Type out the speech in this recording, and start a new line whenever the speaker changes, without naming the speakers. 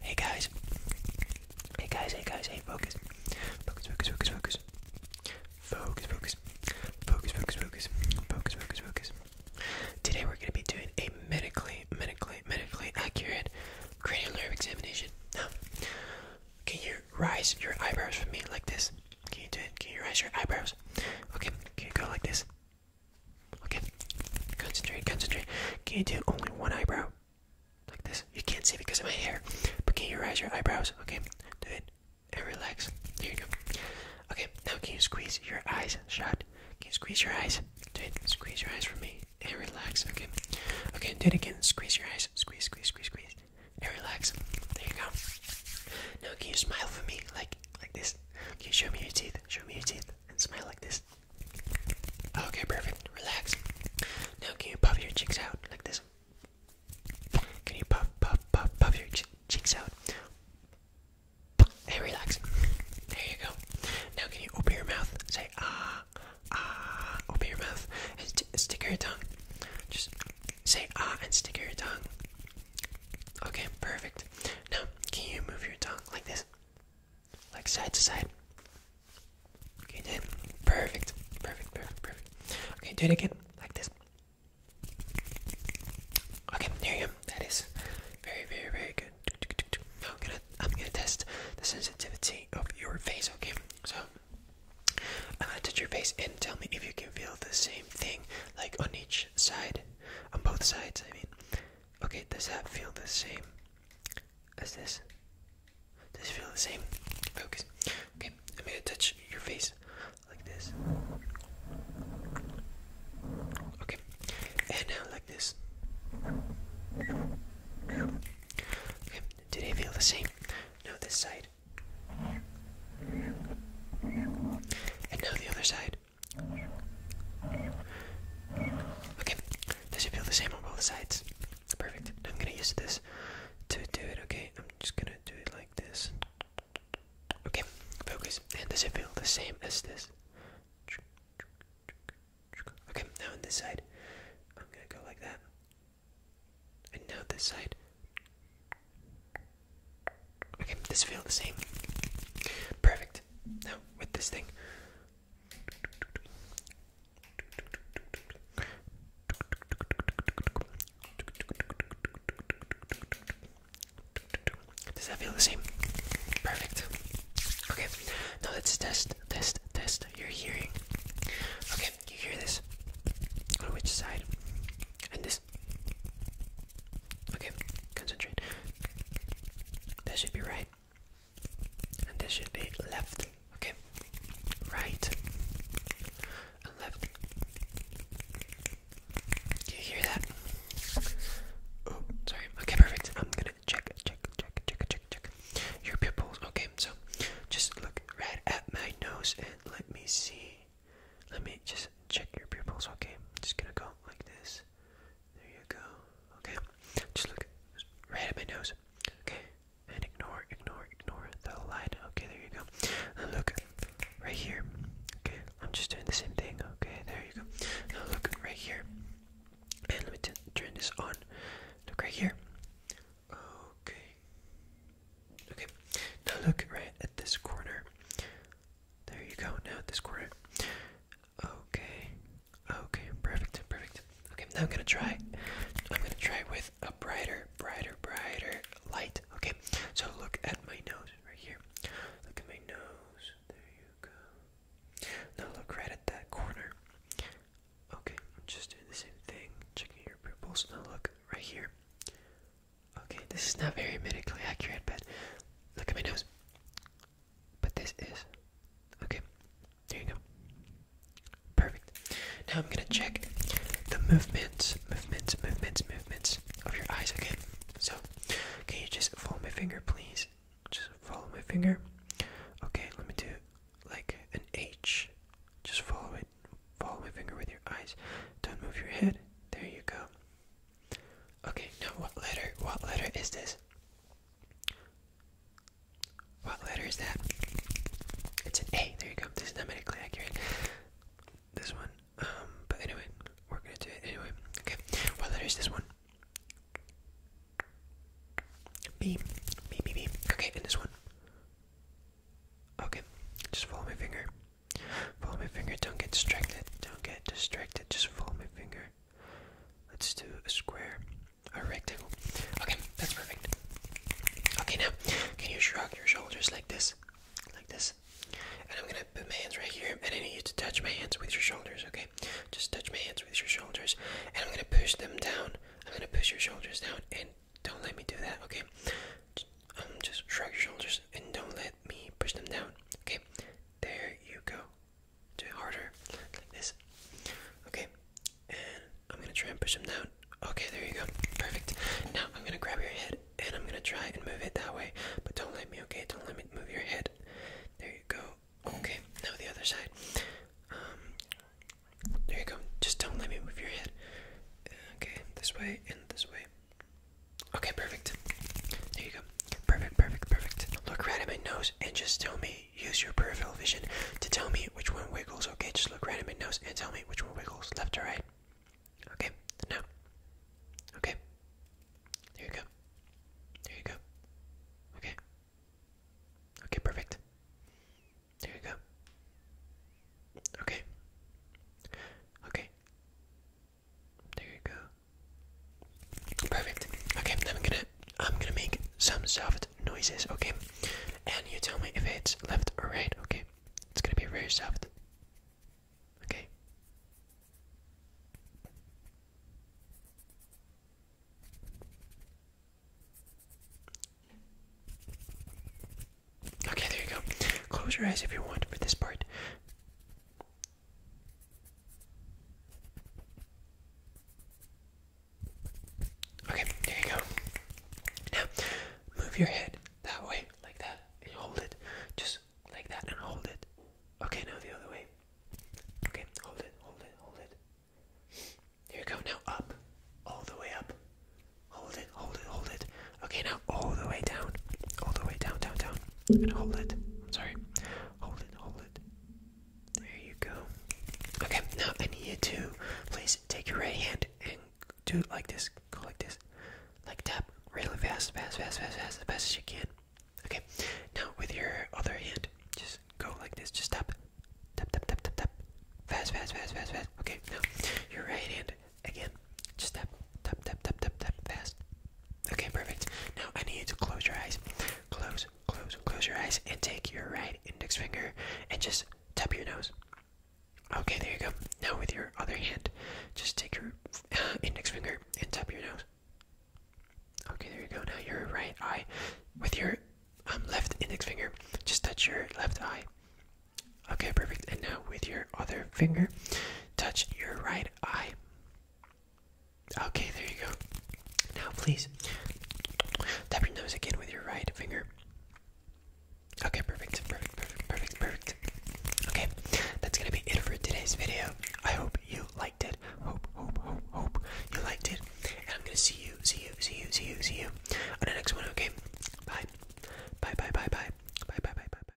Hey guys. Hey guys, hey guys, hey focus. Focus, focus, focus, focus. Focus, focus. Focus, focus, focus. Focus, focus, focus. Today we're gonna be doing a medically, medically, medically accurate cranial nerve examination. Now, can you rise your eyebrows for me like this? Can you do it? Can you rise your eyebrows? Okay, can you go like this? Okay, concentrate, concentrate. Can you do only one eyebrow? Like this. You can't see because of my hair, but can you raise your eyebrows? Okay, do it and relax. There you go. Okay, now can you squeeze your eyes shut? Can you squeeze your eyes? Do it. Squeeze your eyes for me and relax. Okay, okay, do it again. Squeeze your eyes. Squeeze, squeeze, squeeze, squeeze, and relax. There you go. Now can you smile for me like like this? Can you show me your teeth? Show me your teeth and smile like this. Okay, perfect. Relax. Now, can you puff your cheeks out like this? Can you puff, puff, puff, puff your cheeks out? Hey, relax. There you go. Now, can you open your mouth? Say ah, ah. Open your mouth and stick your tongue. Just say ah and stick your tongue. Okay, perfect. Now, can you move your tongue like this? like side to side. Okay, then perfect, perfect, perfect, perfect. Okay, do it again, like this. Okay, there you go. That is very, very, very good. I'm gonna, I'm gonna test the sensitivity of your face. Okay, so I'm uh, gonna touch your face and tell me if you can feel the same thing, like on each side, on both sides. I mean, Okay, does that feel the same as this? Does it feel the same? Focus. Okay, I'm gonna touch your face like this. Okay, and now like this. Okay, did it feel the same? No, this side. And now the other side. Okay, does it feel the same on both sides? Perfect. I'm gonna use this to do it, okay? I'm just gonna do it like this. Okay, focus. And does it feel the same as this? Okay, now on this side, I'm gonna go like that. And now this side. Okay, this feel the same. Perfect. Now with this thing, does that feel the same? Perfect. Okay, now let's test, test, test your hearing. Okay, you hear this? On which side? And this? Okay, concentrate. That should be right and this should be left, okay? Right and left. Do you hear that? Oh, sorry. Okay, perfect. I'm gonna check, check, check, check, check, check your pupils. Okay, so just look right at my nose and let me see. Let me just check your pupils. Okay, just gonna go like this. There you go. Okay. Just look just right at my nose. Okay. And ignore, ignore, ignore the light. Okay, there you go. Now look right here. Okay. I'm just doing the same thing. Okay, there you go. Now look right here. And let me t turn this on. Look right here. Okay. Okay. Now look right at this corner. There you go. Now at this corner. Okay. Okay, perfect, perfect. Okay, now I'm gonna try. I'm gonna try with a brighter, brighter, brighter light. Okay, so look at my nose right here. Look at my nose. There you go. Now look right at that corner. Okay, I'm just doing the same thing. Checking your pupils. Now look right here. Okay, this is not very medically accurate, but look at my nose but this is. Okay, there you go. Perfect. Now I'm gonna check the movements, movements, movements, movements of your eyes. Okay, so can you just follow my finger, please? Just follow my finger. Okay, let me do like an H. Just follow it. Follow my finger with your eyes. Don't move your head. There you go. Okay, now what letter? What letter is this? What letter is that? It's an A. There you go. This is not medically accurate. This one. Um, but anyway, we're gonna do it anyway. Okay. What letter is this one? B. B B B. Okay, and this one. Okay. Just follow my finger. Follow my finger. Don't get distracted. Don't get distracted. Just follow my finger. Let's do a square, a rectangle. Okay, that's perfect. Okay, now can you shrug your shoulders like this? Like this. And I'm gonna put my hands right here, and I need you to touch my hands with your shoulders, okay? Just touch my hands with your shoulders, and I'm gonna push them down. I'm gonna push your shoulders down, and don't let me do that, okay? Just, um, just shrug your shoulders and don't let me push them down, okay? There you go. Do it harder, like this. Okay, and I'm gonna try and push him down. Okay, there you go. Perfect. Now I'm gonna grab your head and I'm gonna try and move it that way, but don't let me, okay? Don't let me move your head. There you go. Okay, now the other side. Um, there you go. Just don't let me move your head. Okay, this way and this way. Okay, perfect. There you go. Perfect, perfect, perfect. Look right at my nose and just tell me, use your peripheral vision to tell me which one wiggles, okay? Just look right at my nose and tell me which one wiggles, left or right. Okay, now. Okay. There you go. There you go. Okay. Okay, perfect. There you go. Okay. Okay. There you go. Perfect. Okay, then I'm gonna I'm gonna make some soft noises, okay? And you tell me if it's left or right, okay? It's gonna be very soft. Okay. Okay, there you go. Close your eyes if you want for this part. Okay, there you go. Now, move your head that way, like that, and hold it. Just like that and hold it. Okay, now the other way. Okay, hold it, hold it, hold it. Here you go, now up. All the way up. Hold it, hold it, hold it. Okay, now all the way down. All the way down, down, down. And hold it. I'm sorry. Hold it, hold it. There you go. Okay, now I need you to please take your right hand and do it like this. Go like this. Like tap really fast, fast, fast, fast, fast, as fast as you can. Okay, now with your other hand, just go like this. Just tap. Tap, tap, tap, tap, tap. Fast, fast, fast, fast, fast. Okay, now your right hand Again, just tap, tap, tap, tap, tap, tap, fast. Okay, perfect. Now I need you to close your eyes. Close, close, close your eyes, and take your right index finger and just tap your nose. Okay, there you go. Now with your other hand, just take your uh, index finger and tap your nose. Okay, there you go. Now your right eye, with your um, left index finger, just touch your left eye. Okay, perfect. And now with your other finger, touch your right eye Okay, there you go. Now, please tap your nose again with your right finger. Okay, perfect, perfect, perfect, perfect, perfect. Okay, that's gonna be it for today's video. I hope you liked it. Hope, hope, hope, hope you liked it. And I'm gonna see you, see you, see you, see you, see you on the next one. Okay, bye, bye, bye, bye, bye, bye, bye, bye, bye. bye.